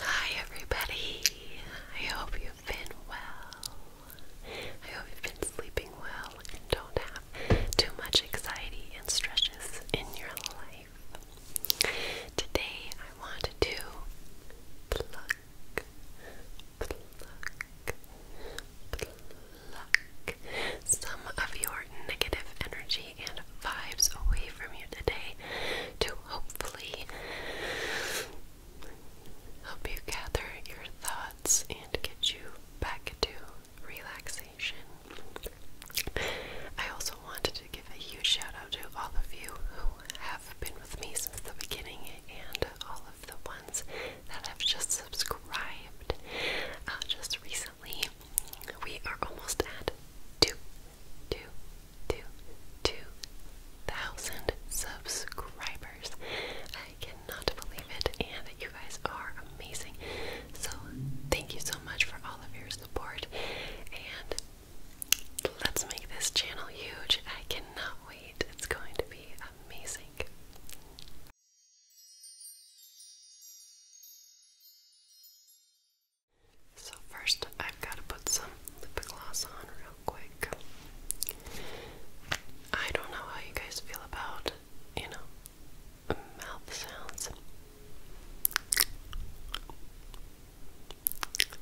Hi everybody. I hope you've been well. I hope you've been sleeping well and don't have too much anxiety and stresses in your life. Today I want to pluck, pluck, pluck some of your negative energy and vibes away from you today to hopefully help you gather your thoughts and get you back to relaxation. I also wanted to give a huge shout out to all of you who have been with me since the beginning and all of the ones that have just subscribed uh, just recently. We are almost at two, two, to 2,000 subscribers. I cannot believe it, and you guys are amazing. So, thank you so much for all of your support, and let's make this channel huge. I cannot wait, it's going to be amazing. So first I've got to put some lip gloss on real quick. I don't know how you guys feel about, you know, mouth sounds.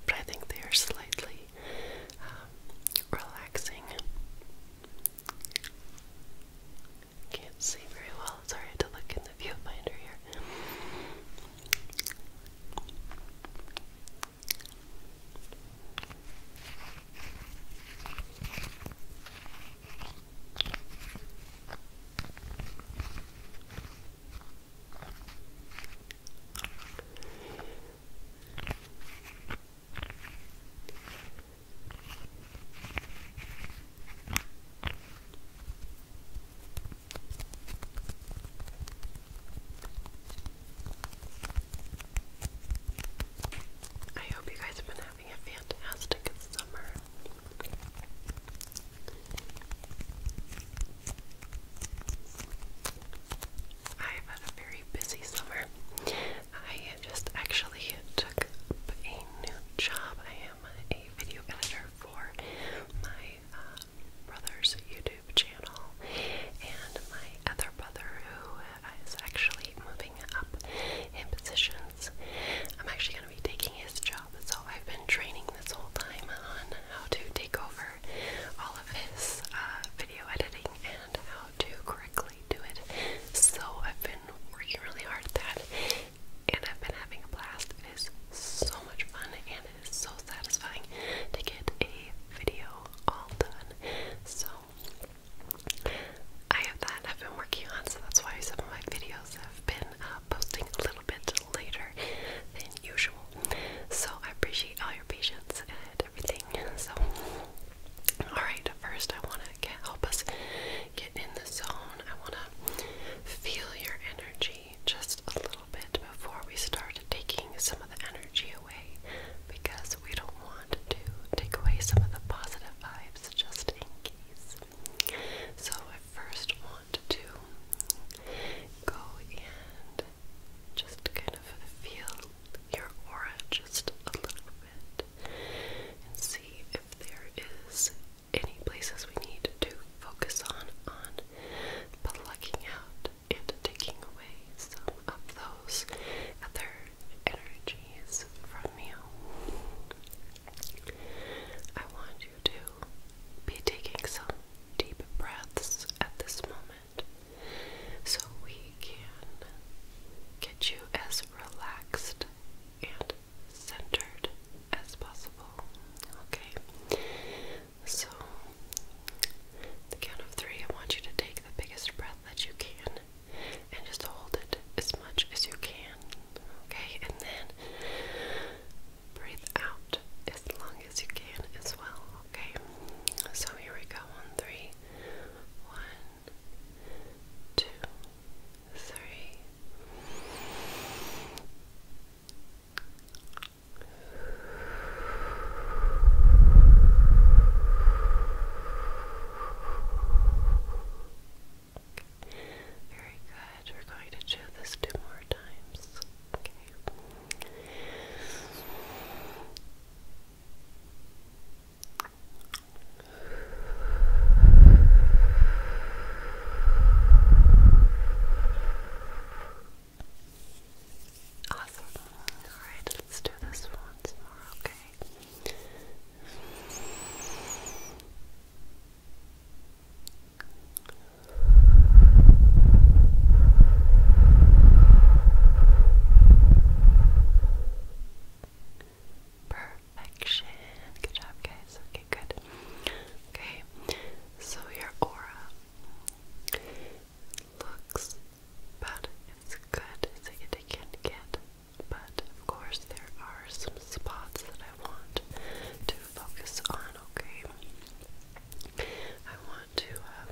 But I think they are slightly um, relaxing. Can't see very well. It's to look in in the viewfinder here. I hope you guys have been having a fantastic summer. I've had a very busy summer. I just actually took up a new job. I am a video editor for my uh, brother's YouTube channel and my other brother who is actually moving up in positions. I'm actually going to be taking his job, so I've been training this whole time on how to take over all of his uh, video editing and how to correctly do it. So I've been working really hard at that, and I've been having a blast. It is so much fun and it is so satisfying to get a video all done. So I have that I've been working on, so that's why some of my videos have been uh, posting a little bit later than usual. So I appreciate all your patience and everything. So, alright, first I want to help us get in the zone. I want to feel your energy just a little bit before we start taking some of the energy away because we don't want to take away some of the positive vibes just in case. So, I first want to go and just kind of feel your aura just a little bit and see if there is any places we need to focus on on plucking out and taking away some of those other energies from you. I want you to be taking some deep breaths at this moment so we can get you as relaxed and centered as possible. Okay, so the count of three, I want you to take the biggest breath that you can and just hold it as much as you can. Okay, and then breathe out as long as you can as well. Okay, so here we go on three. One, two, three. Very good. We're going to do this two more times. Okay. Awesome. Alright, let's do this once more, okay? Perfection. Good job, guys. Okay, good. Okay, so your aura looks bad. It's good. It's like it but of course there are some spots that I want to focus on. Okay, I want to uh,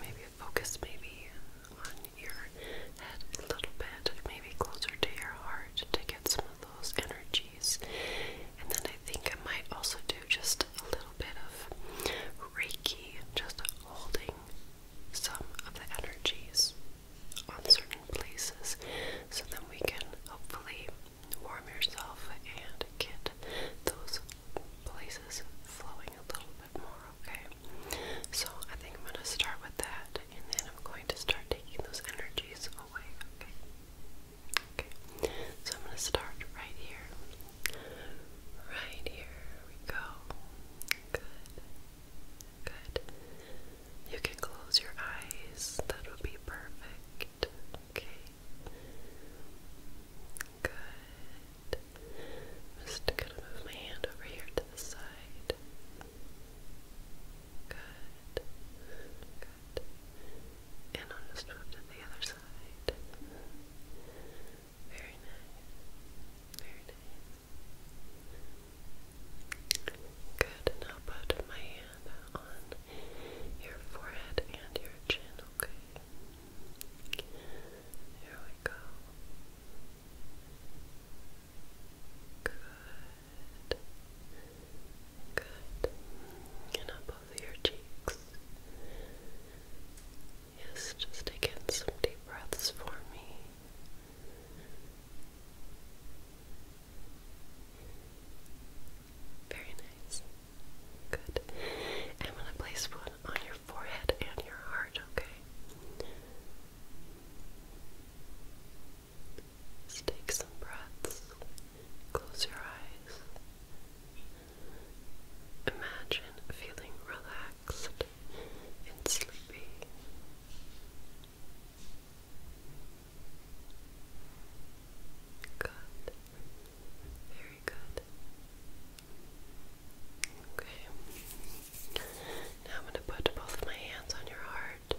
maybe focus maybe on your head a little bit, maybe closer to your heart to get some those energies. And then I think I might also do just a little bit of Reiki, just holding some of the energies on certain places so then we can hopefully warm yourself and get those places flowing a little bit more, okay? So I think I'm going to start with that and then I'm going to start taking those energies away. Okay. Okay. So I'm going to start right here. Right here we go. Good. Good. You can close your eyes. That would be perfect. Okay. Good. Just gonna move my hand over here to the side. Good. Good. And I'll just move to the other side. Very nice. Very nice. Good. Now put my hand on your forehead and your chin, okay? Here we go. Good. Good. And up over your cheeks. Yes, just take in some deep breaths for me. Very nice. Good. I'm going to place one on your forehead and your heart, okay? take some breaths, close your eyes. Imagine feeling relaxed and sleepy. Good. Very good. Okay. Now I'm going to put both my hands on your heart.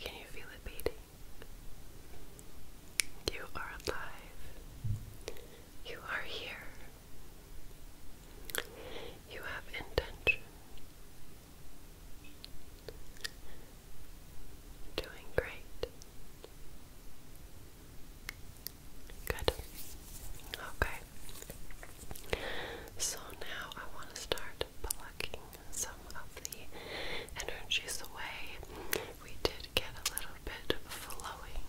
Can you feel it beating? You are alive. You are here. You have intention doing great Good. Okay. So now I want to start plucking some of the energies away. We did get a little bit flowing,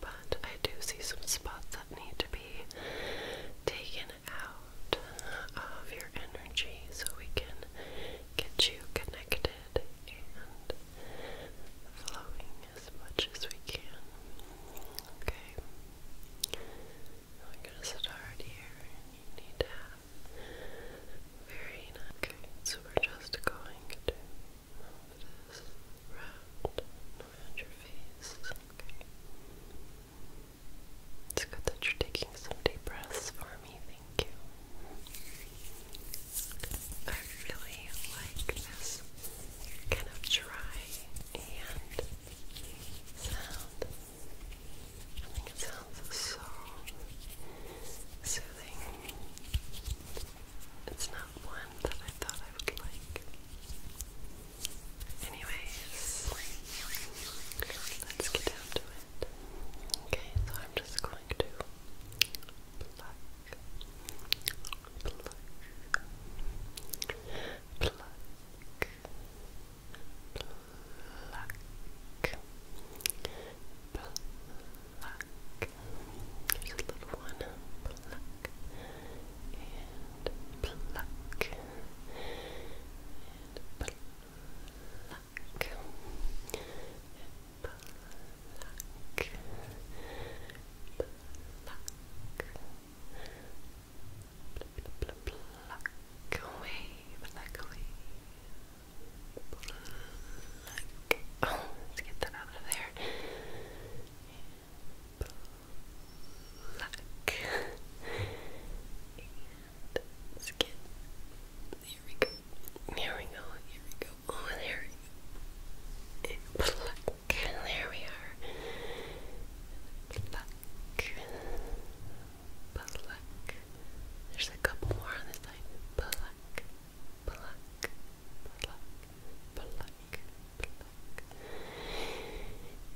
but I do see some spots that need to be taken out of your energy so we can get you connected and flowing as much as we can. Okay. Now i gonna start here you need to have very nice. Okay, so we're just going to move this round around your face. Okay. It's good that you're taking some deep breaths for me, thank you. I really like this kind of dry and sound. I think it sounds so soothing. It's not one that I thought I would like. Anyways, let's get down to it. Okay, so I'm just going to pluck, pluck, pluck, pluck, pluck. Here's a little one. Pluck and pluck and pluck pluck, pluck, pluck away, pluck away, pluck. Oh, let's get that out of there. Pluck. And skin. There we go. Here we go, here we go. Oh, there we go. And pluck. There we are. Pluck. Pluck. There's a couple more on this side. Pluck. Pluck. Pluck. Pluck. Pluck.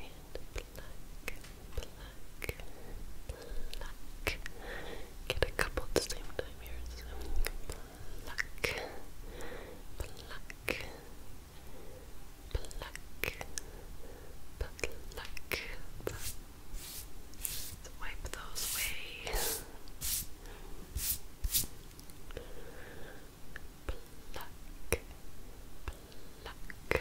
And pluck. Pluck. Pluck. Get a couple at the same time here. So pluck pluck, pluck, pluck, pluck. Let's wipe those away. pluck, pluck, pluck. Pluck,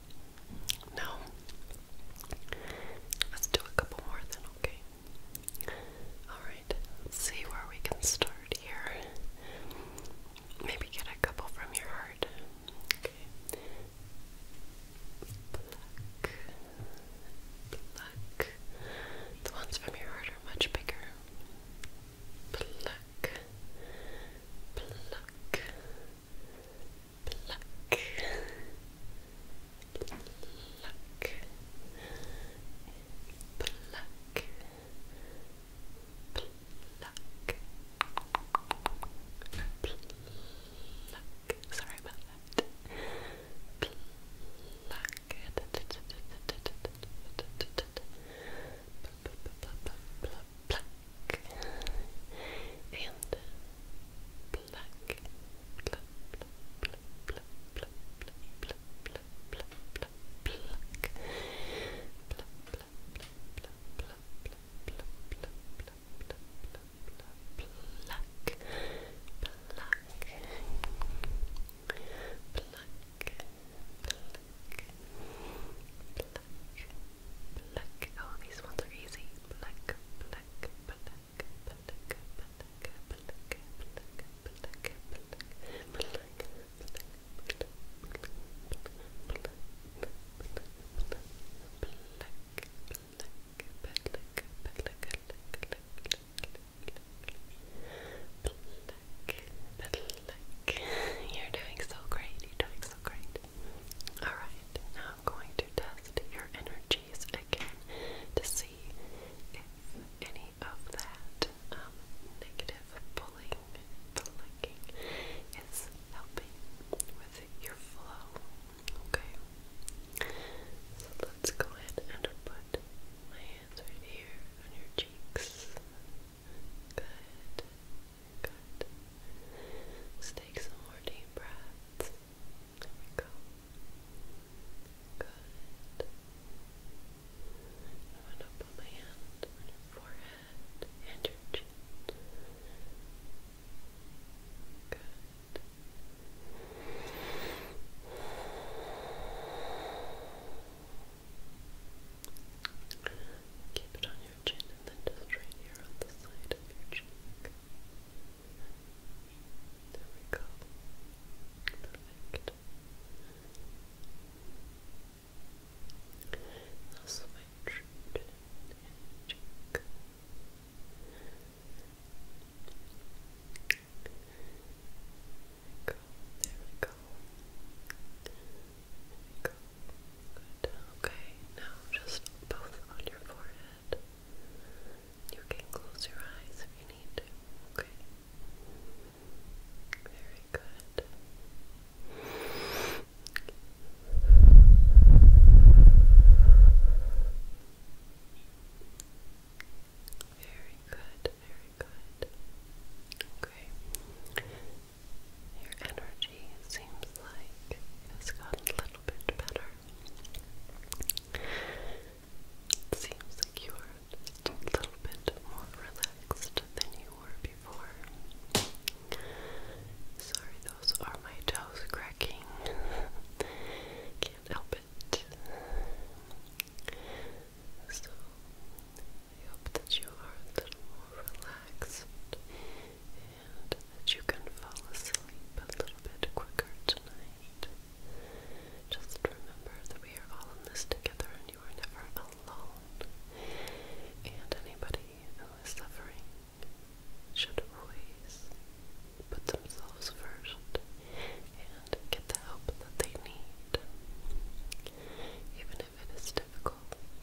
No. Let's do a couple more then, okay? Alright, let's see where we can start here. Maybe get a couple from your heart. Okay. Pluck. Pluck. The ones from your heart are much bigger. Pluck. Pluck pluck, pluck, pluck, pluck, pluck. Sorry Pluck. pluck black, black, black, black, black, black, black, black, black, black, black, Black. Black. Oh, these ones are easy. Black, black, you're doing so great. You're doing so great. Alright, now I'm going to test your energies again to see if any of that um, negative pulling, pulling is helping with your flow. Okay, so let's go ahead and put my hands right here on your cheeks. Good. Let's take some more deep breaths. There we go. Good. I'm going to put my hand on your forehead and your chin. Good. Keep it on your chin and then just right here on the side of your cheek. There we go. switch There we go. There we go. Okay, now just both on your forehead. You can close your eyes if you need to. Okay. Very good. Very good, very good. Okay. Your energy seems like it's gotten a little bit better. seems like you are a little bit more relaxed than you were before. Sorry, those are my toes cracking. Can't help it. So, I hope that you are a little more relaxed and that you can fall asleep a little bit quicker tonight. Just remember that we are all in this together and you are never alone. And anybody who is suffering should always put themselves first and get the help that they need. Even it is difficult.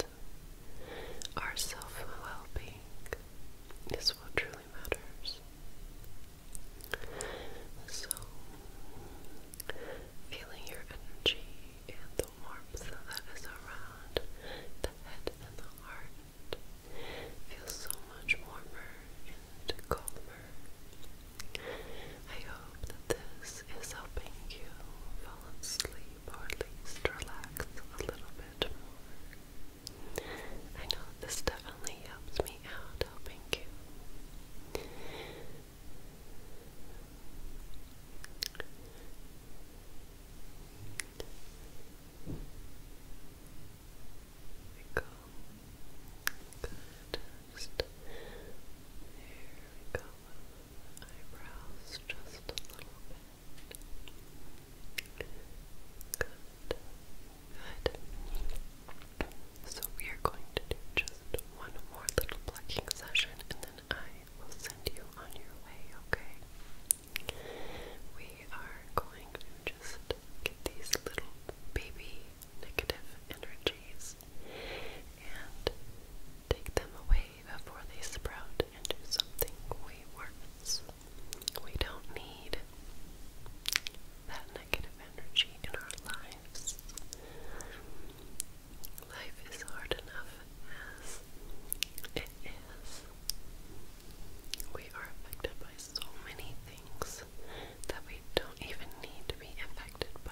Our self well being is what truly matters. So, feeling your energy and the warmth that is around the head and the heart feels so much warmer and calmer. I hope that this is helping you fall asleep or at least relax a little bit more. I know this definitely helps me out helping you. we go. Good. Just there we go. Eyebrows just a little bit. Good. Good. So we are going to do just one more little plucking session and then I will send you on your way, okay? We are going to just get these little baby negative energies and take them away before they sprout into something way worse. We don't need that negative energy in our lives. Life is hard enough as it is. We are affected by so many things that we don't even need to be affected by.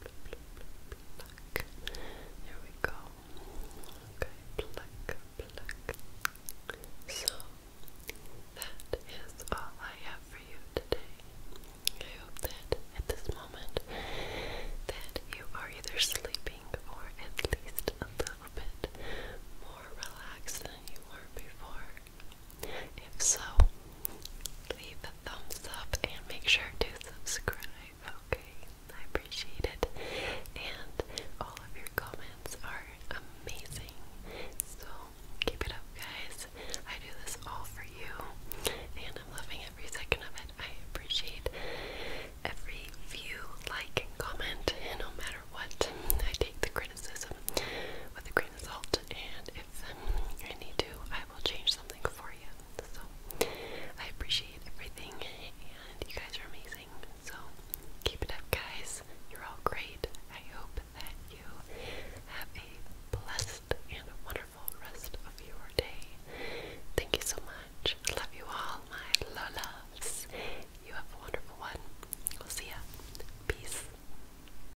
pluck. we go. Okay, So that is all I have for you today. I hope that at this moment that you are either sleeping or at least a little bit more relaxed than you were before. If so, leave a thumbs up and make sure to subscribe, okay? I appreciate it. And all of your comments are amazing. So keep it up, guys. I do this all for you, and I'm loving every second of it. I appreciate every view, like, comment, and no matter what, I take the criticism with a grain and if I need to, I will change something for you. So, I appreciate everything, and you guys are amazing. So, keep it up, guys. You're all great. I hope that you have a blessed and wonderful rest of your day. Thank you so much. I love you all, my loves. You have a wonderful one. we see ya. Peace.